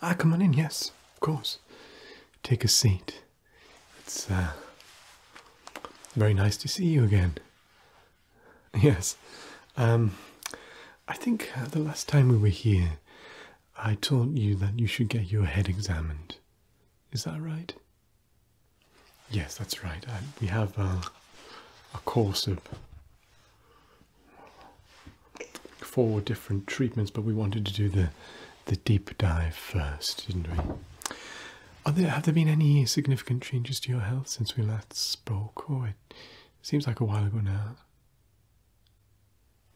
Ah, come on in, yes, of course. Take a seat. It's uh, very nice to see you again. Yes, um, I think uh, the last time we were here, I told you that you should get your head examined. Is that right? Yes, that's right. we have uh, a course of four different treatments, but we wanted to do the the deep dive first, didn't we? have there been any significant changes to your health since we last spoke? Oh, it seems like a while ago now.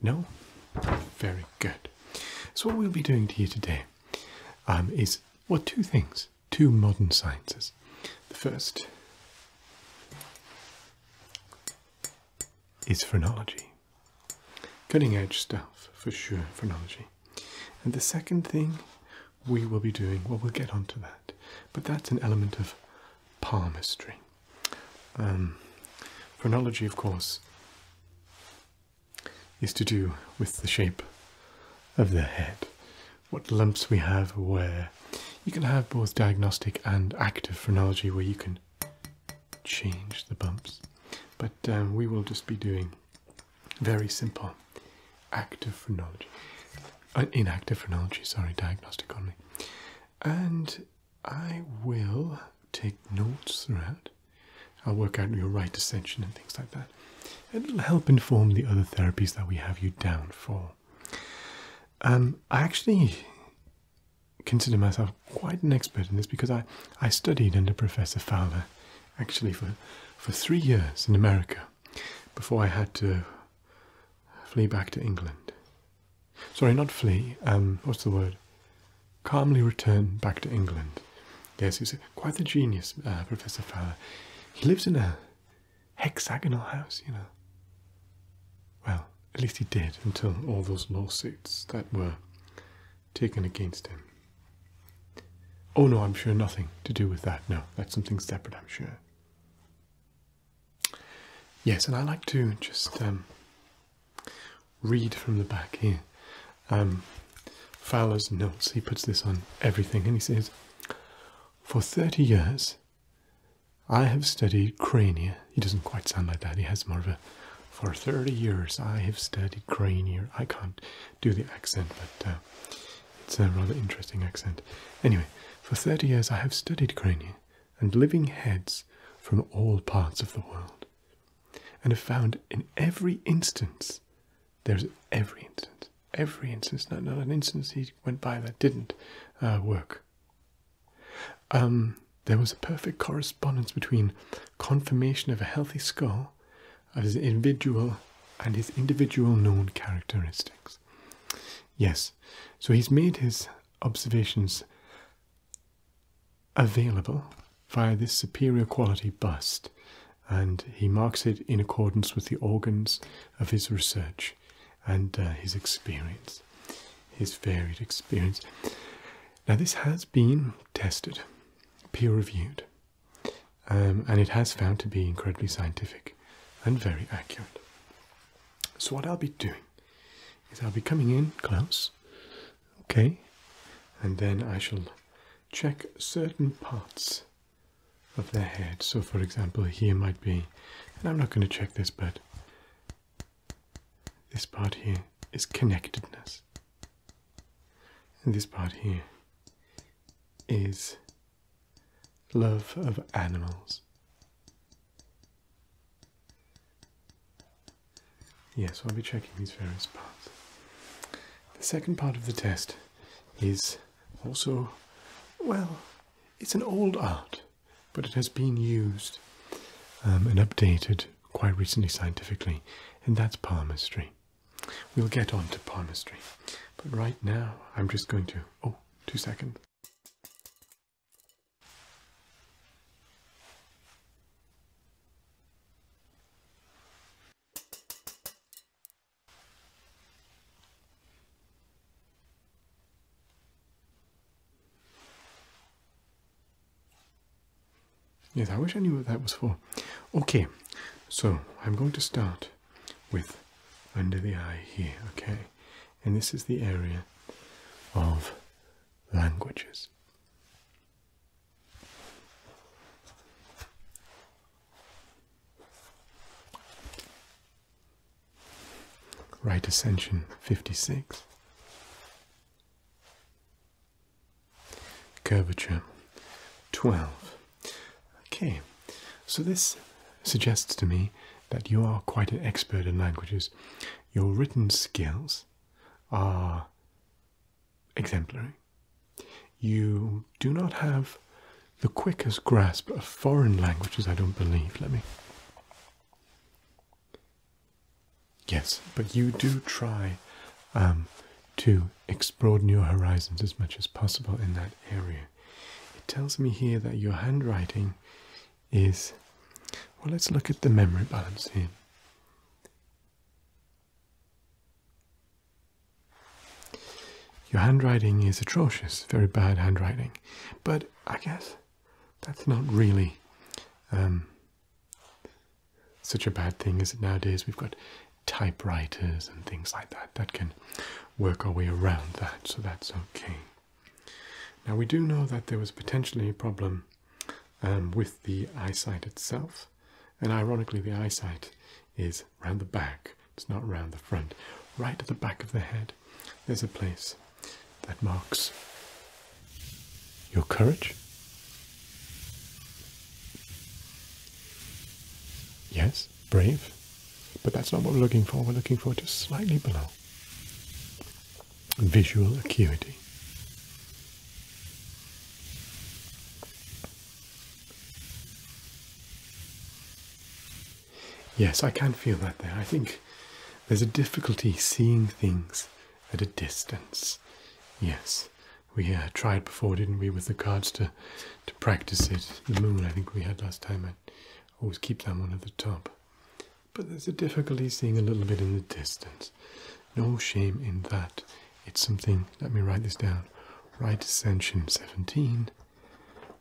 No? Very good. So what we'll be doing to you today um, is, what two things. Two modern sciences the first is phrenology. Cutting edge stuff for sure, phrenology. And the second thing we will be doing, well, we'll get onto that, but that's an element of palmistry. Um, phrenology, of course, is to do with the shape of the head what lumps we have where. You can have both diagnostic and active phrenology where you can change the bumps. But um, we will just be doing very simple active phrenology, uh, in active phrenology, sorry, diagnostic only. And I will take notes throughout. I'll work out your right ascension and things like that. It'll help inform the other therapies that we have you down for. Um, I actually consider myself quite an expert in this because I, I studied under Professor Fowler actually for, for three years in America before I had to flee back to England. Sorry, not flee, um, what's the word? Calmly return back to England. Yes, he's quite the genius, uh, Professor Fowler. He lives in a hexagonal house, you know. Well, at least he did until all those lawsuits that were taken against him. Oh no, I'm sure nothing to do with that. No, that's something separate, I'm sure. Yes, and I like to just um, read from the back here. Um, Fowler's notes, he puts this on everything, and he says, For 30 years, I have studied crania. He doesn't quite sound like that. He has more of a. For 30 years, I have studied crania. I can't do the accent, but uh, it's a rather interesting accent. Anyway, for 30 years, I have studied crania and living heads from all parts of the world, and have found in every instance, there's every instance, every instance, not, not an instance he went by that didn't uh, work. Um, there was a perfect correspondence between confirmation of a healthy skull of his individual and his individual known characteristics. Yes, so he's made his observations available via this superior quality bust and he marks it in accordance with the organs of his research and uh, his experience, his varied experience. Now, this has been tested, peer reviewed, um, and it has found to be incredibly scientific and very accurate. So, what I'll be doing is I'll be coming in close, okay, and then I shall check certain parts of their head. So for example, here might be, and I'm not going to check this, but this part here is connectedness. And this part here is love of animals. Yes, I'll be checking these various parts. The second part of the test is also, well, it's an old art but it has been used um, and updated quite recently scientifically, and that's palmistry. We'll get on to palmistry, but right now I'm just going to. Oh, two seconds. Yes, I wish I knew what that was for. Okay, so I'm going to start with under the eye here, okay? And this is the area of languages. Right Ascension 56. Curvature 12. Okay, so this suggests to me that you are quite an expert in languages. Your written skills are exemplary. You do not have the quickest grasp of foreign languages, I don't believe. Let me. Yes, but you do try um, to explore your horizons as much as possible in that area. It tells me here that your handwriting is. Well, let's look at the memory balance here. Your handwriting is atrocious, very bad handwriting. But I guess that's not really um, such a bad thing, is it? Nowadays we've got typewriters and things like that that can work our way around that, so that's okay. Now we do know that there was potentially a problem um, with the eyesight itself, and ironically, the eyesight is round the back. It's not round the front. Right at the back of the head, there's a place that marks your courage. Yes, brave, but that's not what we're looking for. We're looking for just slightly below visual acuity. Yes, I can feel that there. I think there's a difficulty seeing things at a distance. Yes, we uh, tried before, didn't we, with the cards to to practice it. The moon, I think we had last time. I always keep that one at the top. But there's a difficulty seeing a little bit in the distance. No shame in that. It's something, let me write this down. Right ascension 17,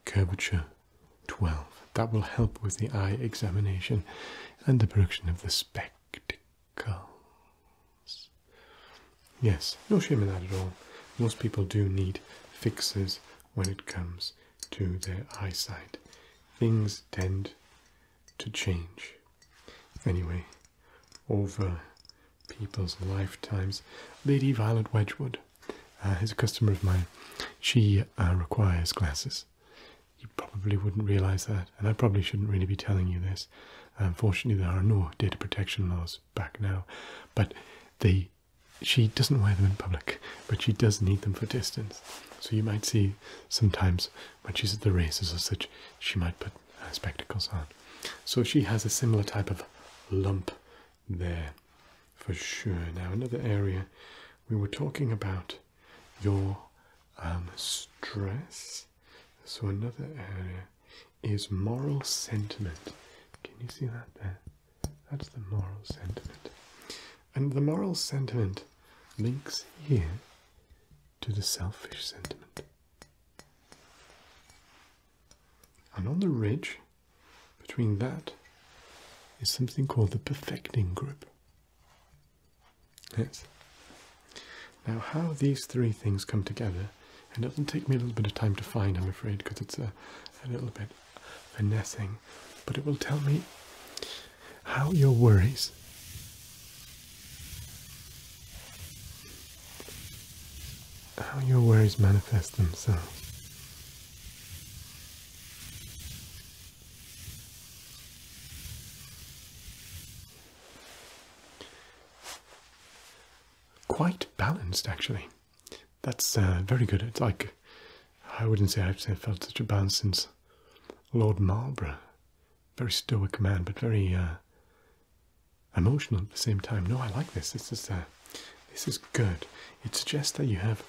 curvature 12. That will help with the eye examination and the production of the spectacles. Yes, no shame in that at all. Most people do need fixes when it comes to their eyesight. Things tend to change. Anyway, over people's lifetimes. Lady Violet Wedgwood uh, is a customer of mine. She uh, requires glasses. You probably wouldn't realise that, and I probably shouldn't really be telling you this. Unfortunately, there are no data protection laws back now, but they she doesn't wear them in public, but she does need them for distance. So you might see sometimes when she's at the races or such, she might put uh, spectacles on. So she has a similar type of lump there for sure. Now, another area we were talking about your um, stress. So, another area is moral sentiment. Can you see that there? That's the moral sentiment. And the moral sentiment links here to the selfish sentiment. And on the ridge, between that is something called the perfecting group. Yes. Now, how these three things come together, it doesn't take me a little bit of time to find, I'm afraid, because it's a, little bit finessing, but it will tell me how your worries how your worries manifest themselves. Quite balanced, actually. That's uh, very good. It's like I wouldn't say I've felt such a balance since Lord Marlborough. Very stoic man, but very uh, emotional at the same time. No, I like this. This is this is good. It suggests that you have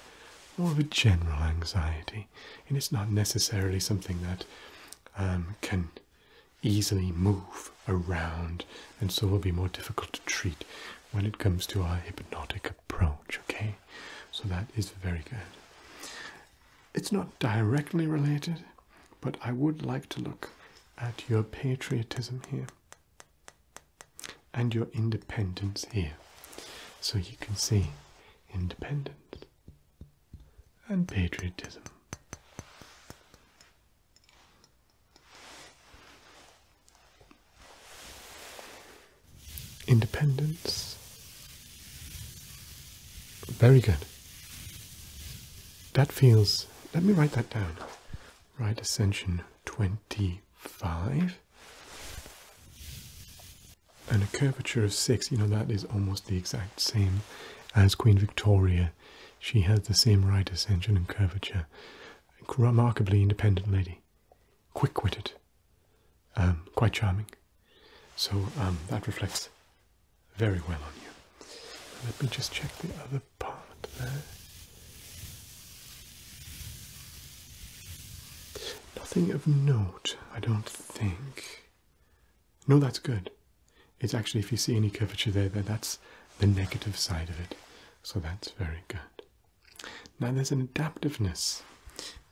more of a general anxiety, and it's not necessarily something that um, can easily move around, and so will be more difficult to treat when it comes to our hypnotic approach. Okay, so that is very good. It's not directly related, but I would like to look at your patriotism here and your independence here. So you can see independence and patriotism. Independence. Very good. That feels, let me write that down. Right ascension 25 and a curvature of 6 you know that is almost the exact same as queen victoria she has the same right ascension and curvature remarkably independent lady quick-witted um, quite charming so um, that reflects very well on you let me just check the other part there Nothing of note, I don't think. No, that's good. It's actually, if you see any curvature there, that's the negative side of it. So that's very good. Now there's an adaptiveness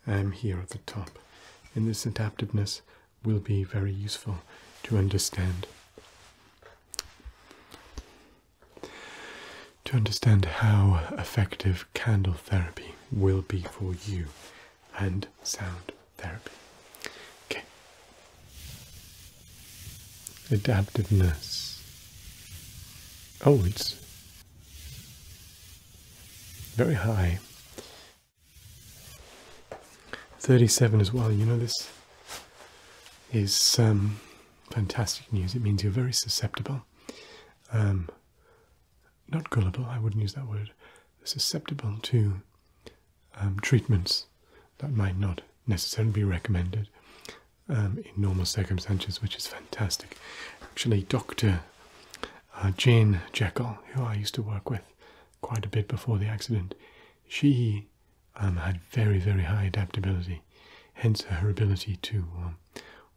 I'm um, here at the top. And this adaptiveness will be very useful to understand to understand how effective candle therapy will be for you and sound therapy. Okay. Adaptiveness. Oh, it's very high. 37 as well. You know, this is um, fantastic news. It means you're very susceptible. Um, not gullible, I wouldn't use that word, susceptible to um, treatments that might not necessarily be recommended um, in normal circumstances, which is fantastic. Actually, Dr. Uh, Jane Jekyll, who I used to work with quite a bit before the accident, she um, had very, very high adaptability, hence her ability to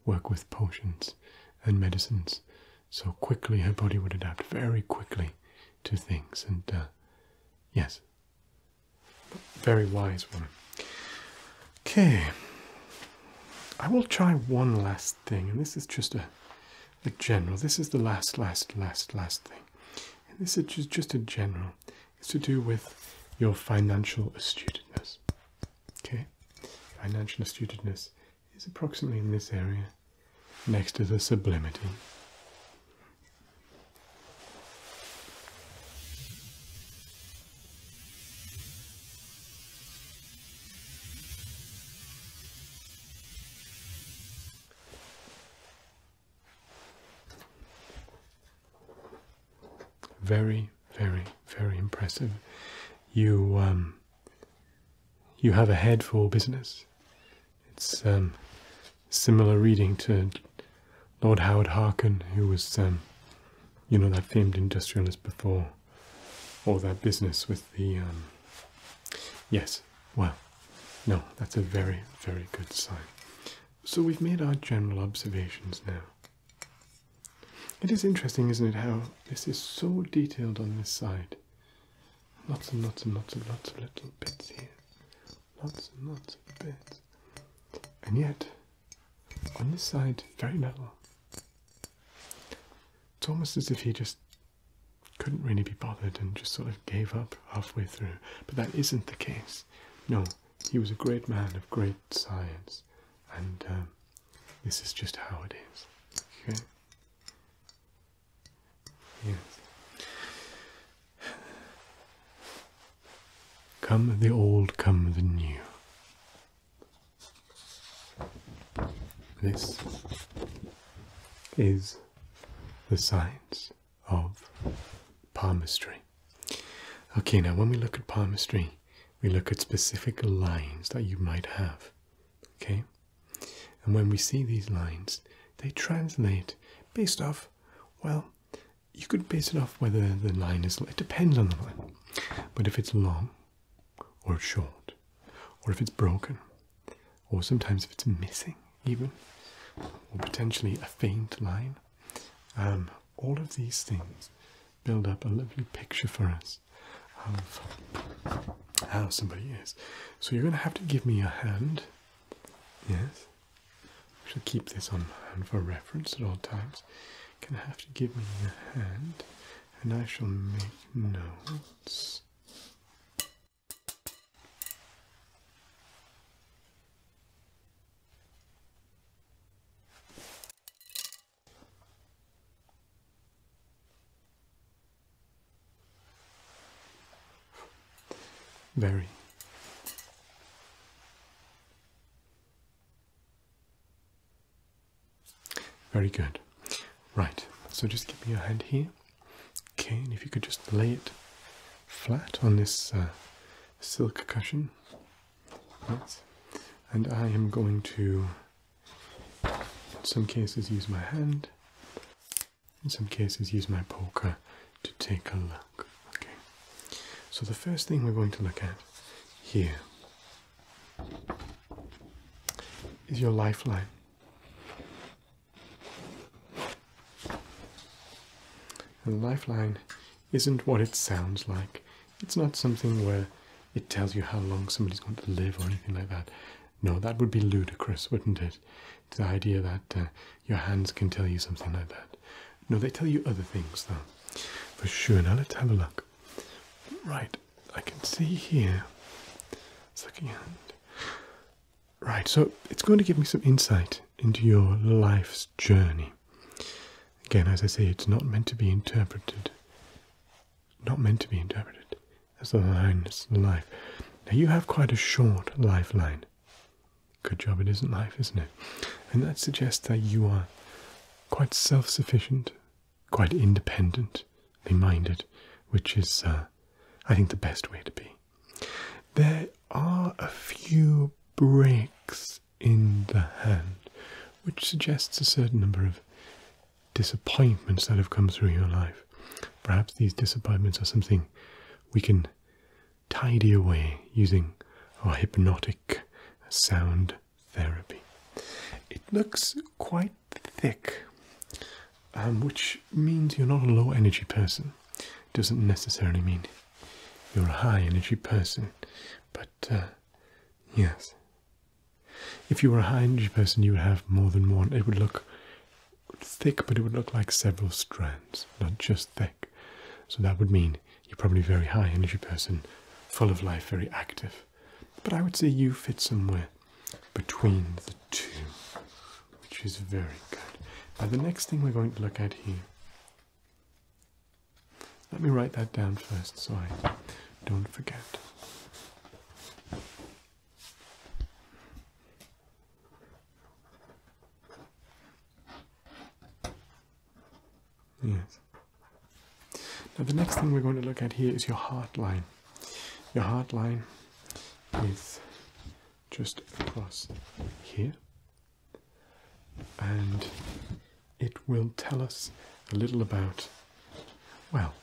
work with potions and medicines so quickly her body would adapt very quickly to things and uh, yes very wise woman okay i will try one last thing and this is just a, general this is the last last last last thing and this is just a general it's to do with your financial astuteness Okay, financial astuteness is approximately in this area next to the sublimity. Very, very, very impressive. You um, you have a head for business. It's um, similar reading to Lord Howard Harkin, who was, um, you know, that famed industrialist before all that business with the. yes, well, no, that's a very, very good sign. So we've made our general observations now. It is interesting, isn't it, how this is so detailed on this side. Lots and lots and lots and lots of little bits here. Lots and lots of bits. And yet, on this side, very little. It's almost as if he just couldn't really be bothered and just sort of gave up halfway through. But that isn't the case. No, he was a great man of great science and um, this is just how it is. Okay. Yes. Come the old, come the new. This is the science of palmistry. Okay, now when we look at palmistry, we look at specific lines that you might have. Okay? And when we see these lines, they translate based off, well, you could base it off whether the line is, it depends on the line. But if it's long or short, or if it's broken, or sometimes if it's missing even, or potentially a faint line, um, all of these things build up a lovely picture for us of how somebody is. So you're going to have to give me your hand. Yes. We shall keep this on hand for reference at all times. You're going to have to give me your hand and I shall make notes. Very. Very good. Right, so just give me your hand here. Okay, and if you could just lay it flat on this uh, silk cushion. And I am going to in some cases use my hand, in some cases use my poker to take a look. Okay. So the first thing we're going to look at here is your lifeline. And lifeline isn't what it sounds like. It's not something where it tells you how long somebody's going to live or anything like that. No, that would be ludicrous, wouldn't it? The idea that uh, your hands can tell you something like that. No, they tell you other things, though. For sure. Now let's have a look. Right, I can see here. Second hand. Right, so it's going to give me some insight into your life's journey. Again, as I say, it's not meant to be interpreted not meant to be interpreted as the line is the life. Now you have quite a short lifeline. Good job it isn't life, isn't it? And that suggests that you are quite self sufficient, quite independently minded, which is, uh, I think, the best way to be. There are a few breaks in the hand, which suggests a certain number of disappointments that have come through your life. Perhaps these disappointments are something we can tidy away using our hypnotic sound therapy. It looks quite thick, um, which means you're not a low energy person. It doesn't necessarily mean you're a high energy person, but uh, yes, if you were a high energy person, you would have more than one. It would look thick, but it would look like several strands, not just thick. So that would mean you're probably a very high energy person, full of life, very active. But I would say you fit somewhere between the two, which is very good. Now, the next thing we're going to look at here let me write that down first so I don't forget. Yes. Now the next thing we're going to look at here is your heart line. Your heart line is just across here and it will tell us a little about, well,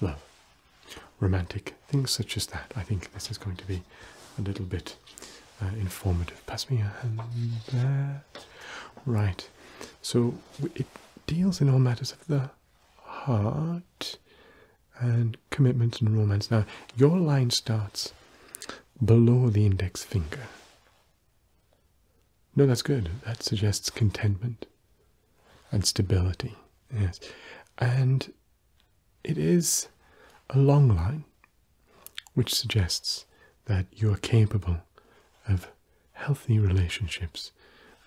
love, romantic things such as that. I think this is going to be a little bit uh, informative. Pass me a hand there. Right. So it deals in all matters of the heart and commitment and romance. Now, your line starts below the index finger. No, that's good. That suggests contentment and stability. Yes. And it is a long line, which suggests that you are capable of healthy relationships,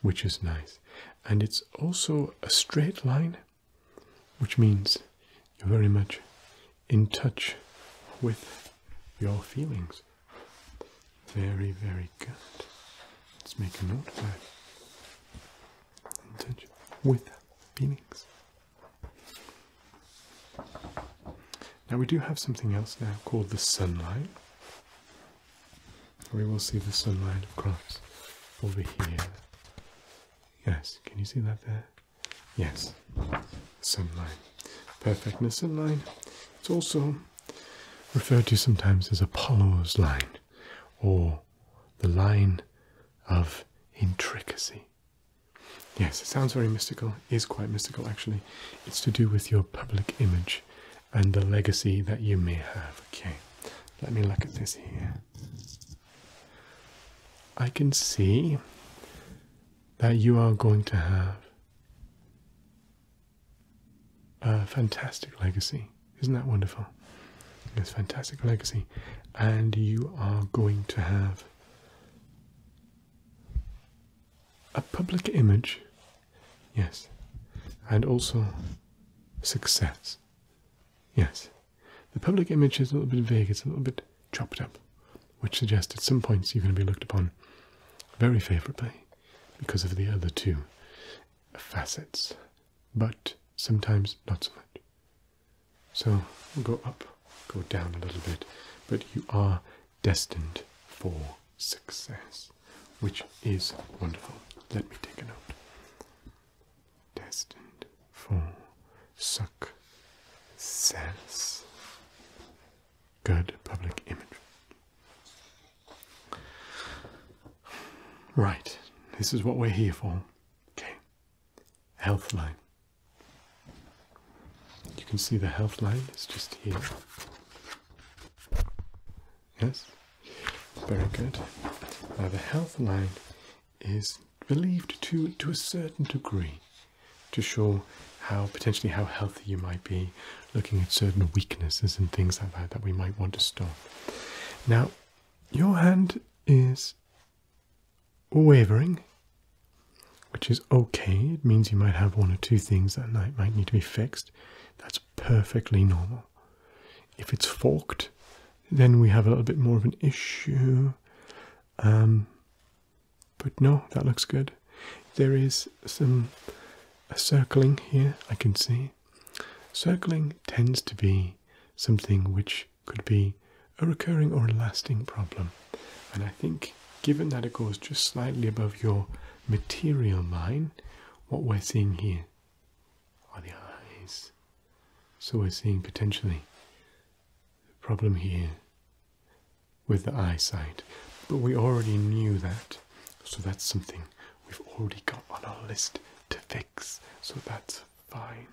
which is nice. And it's also a straight line, which means you're very much in touch with your feelings. Very, very good. Let's make a note of that. Intention with feelings. Now we do have something else now called the sunlight. We will see the sunlight, of over here. Yes, can you see that there? Yes sunline. Perfectness in line. It's also referred to sometimes as Apollo's line or the line of intricacy. Yes, it sounds very mystical, it is quite mystical actually. It's to do with your public image and the legacy that you may have. Okay, let me look at this here. I can see that you are going to have a fantastic legacy. Isn't that wonderful? It's fantastic legacy. And you are going to have a public image, yes, and also success, yes. The public image is a little bit vague, it's a little bit chopped up, which suggests at some points you're going to be looked upon very favourably because of the other two facets, but sometimes not so much. So go up, go down a little bit, but you are destined for success, which is wonderful. Let me take a note. Destined for success. Good public image. Right, this is what we're here for. Okay, health line. You can see the health line is just here. Yes, very good. Now, the health line is relieved to, to a certain degree to show how potentially how healthy you might be, looking at certain weaknesses and things like that that we might want to stop. Now, your hand is wavering, which is okay. It means you might have one or two things that night might need to be fixed. That's perfectly normal. If it's forked, then we have a little bit more of an issue. Um, but no, that looks good. There is some circling here, I can see. Circling tends to be something which could be a recurring or a lasting problem. And I think, given that it goes just slightly above your material line, what we're seeing here are the eyes. So we're seeing potentially a problem here with the eyesight, but we already knew that, so that's something we've already got on our list to fix, so that's fine.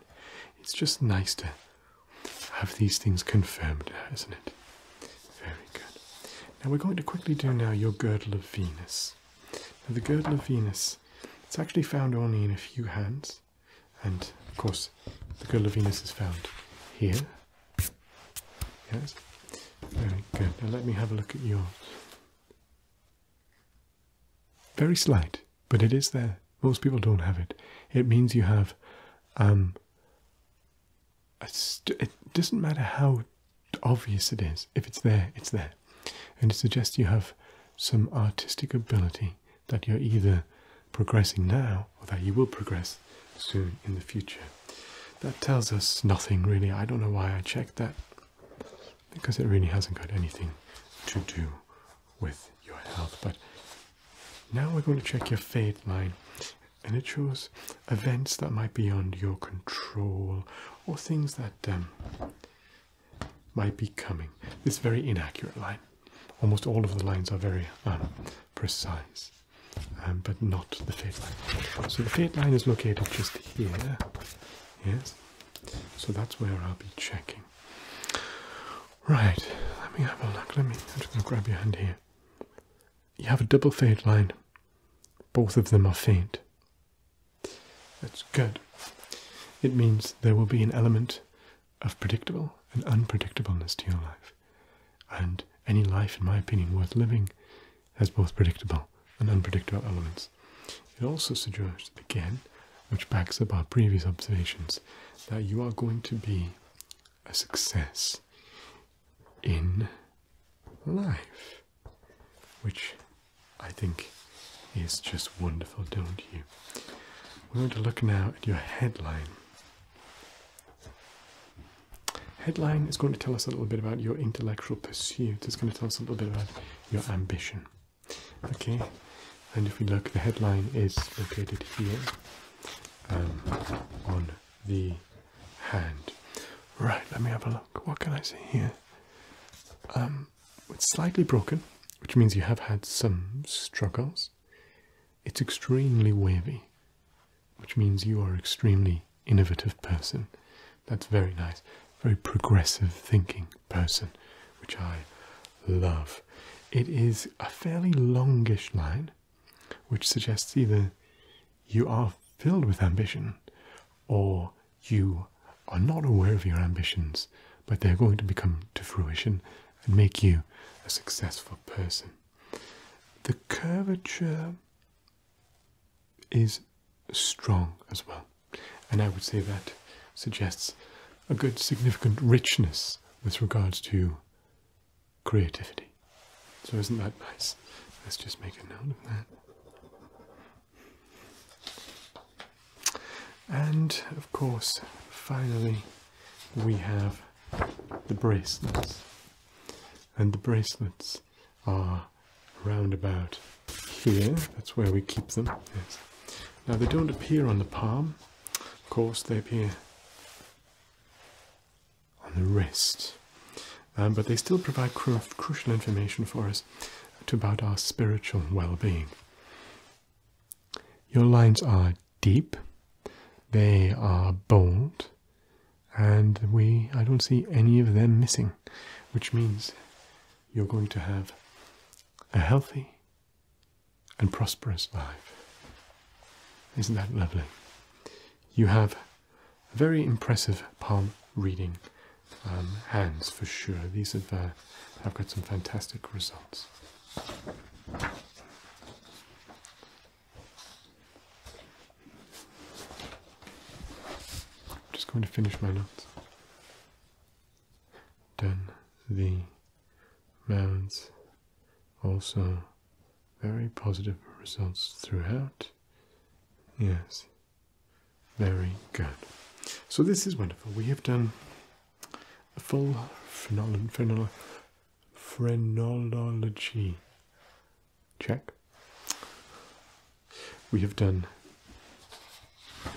It's just nice to have these things confirmed isn't it? Very good. Now we're going to quickly do now your girdle of Venus. Now the girdle of Venus, it's actually found only in a few hands, and of course the girdle of Venus is found here Yes. Very good. Now let me have a look at yours. Very slight, but it is there. Most people don't have it. It means you have. Um, it doesn't matter how obvious it is. If it's there, it's there, and it suggests you have some artistic ability that you're either progressing now or that you will progress soon in the future that tells us nothing really. I don't know why I checked that because it really hasn't got anything to do with your health. But now we're going to check your fate line and it shows events that might be under your control or things that um, might be coming. This very inaccurate line. Almost all of the lines are very um, precise. Um, but not the fade line. So the fade line is located just here. Yes. So that's where I'll be checking. Right. Let me have a look. Let me. just going grab your hand here. You have a double fade line. Both of them are faint. That's good. It means there will be an element of predictable and unpredictableness to your life. And any life, in my opinion, worth living has both predictable and unpredictable elements. It also suggests, again, which backs up our previous observations, that you are going to be a success in life, which I think is just wonderful, don't you? We're going to look now at your headline Headline is going to tell us a little bit about your intellectual pursuit. It's going to tell us a little bit about your ambition. Okay, and if we look, the headline is located here um, on the hand. Right, let me have a look. What can I see here? Um, it's slightly broken, which means you have had some struggles. It's extremely wavy, which means you are an extremely innovative person. That's very nice. Very progressive thinking person, which I love. It is a fairly longish line, which suggests either you are filled with ambition or you are not aware of your ambitions, but they're going to become to fruition and make you a successful person. The curvature is strong as well. And I would say that suggests a good significant richness with regards to creativity. So isn't that nice? Let's just make a note of that. And of course, finally, we have the bracelets. And the bracelets are roundabout here. That's where we keep them. Now they don't appear on the palm. Of course, they appear on the wrist. Um, but they still provide crucial information for us about our spiritual well-being. Your lines are deep. They are bold and we I don't see any of them missing, which means you're going to have a healthy and prosperous life. Isn't that lovely? You have very impressive palm reading um, hands for sure. These have uh, have got some fantastic results. I'm just going to finish my notes. Done the mounds also very positive results throughout. Yes, very good. So this is wonderful. We have done a full phrenolo phrenolo phrenology check. We have done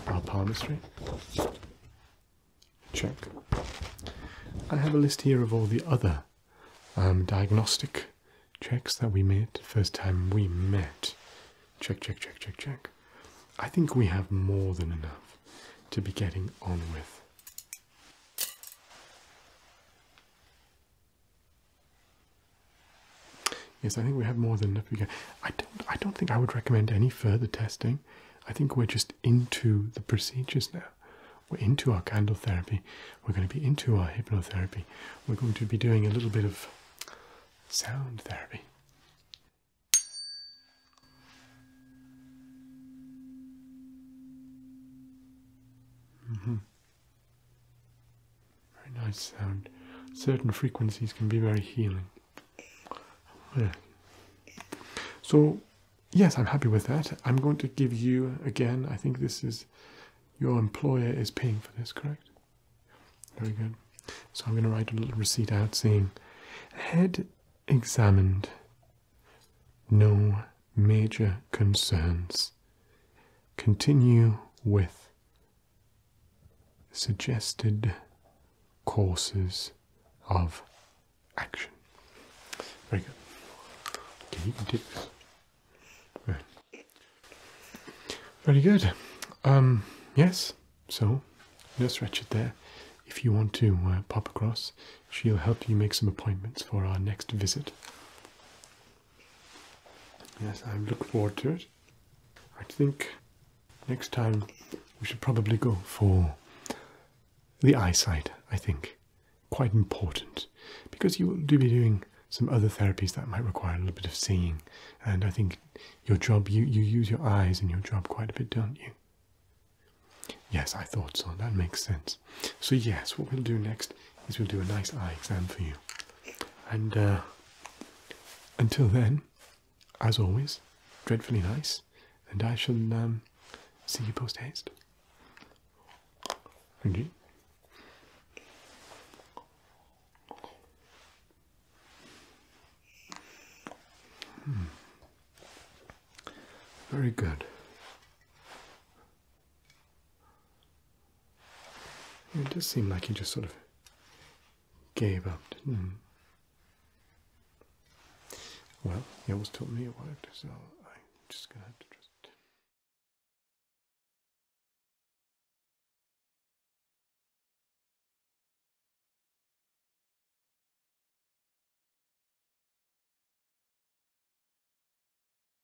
our palmistry. Check. I have a list here of all the other um, diagnostic checks that we made first time we met. Check, check, check, check, check. I think we have more than enough to be getting on with. Yes, I think we have more than enough. I don't. I don't think I would recommend any further testing. I think we're just into the procedures now. We're into our candle therapy. We're going to be into our hypnotherapy. We're going to be doing a little bit of sound therapy. Mm-hmm. Very nice sound. Certain frequencies can be very healing. So, yes, I'm happy with that. I'm going to give you again. I think this is your employer is paying for this, correct? Very good. So I'm going to write a little receipt out saying, head examined, no major concerns. Continue with suggested courses of action. Very good. Can you Very good. Um, yes, so Nurse Ratchet there. If you want to uh, pop across, she'll help you make some appointments for our next visit. Yes, I look forward to it. I think next time we should probably go for the eyesight, I think. Quite important. Because you will do be doing some other therapies that might require a little bit of seeing. And I think your job, you, you use your eyes in your job quite a bit, don't you? Yes, I thought so. That makes sense. So yes, what we'll do next is we'll do a nice eye exam for you. And uh, until then, as always, dreadfully nice, and I shall um, see you post haste. Thank you. Hmm. Very good. It does seem like he just sort of gave up, Well, he always told me it worked, so I'm just going to have to trust.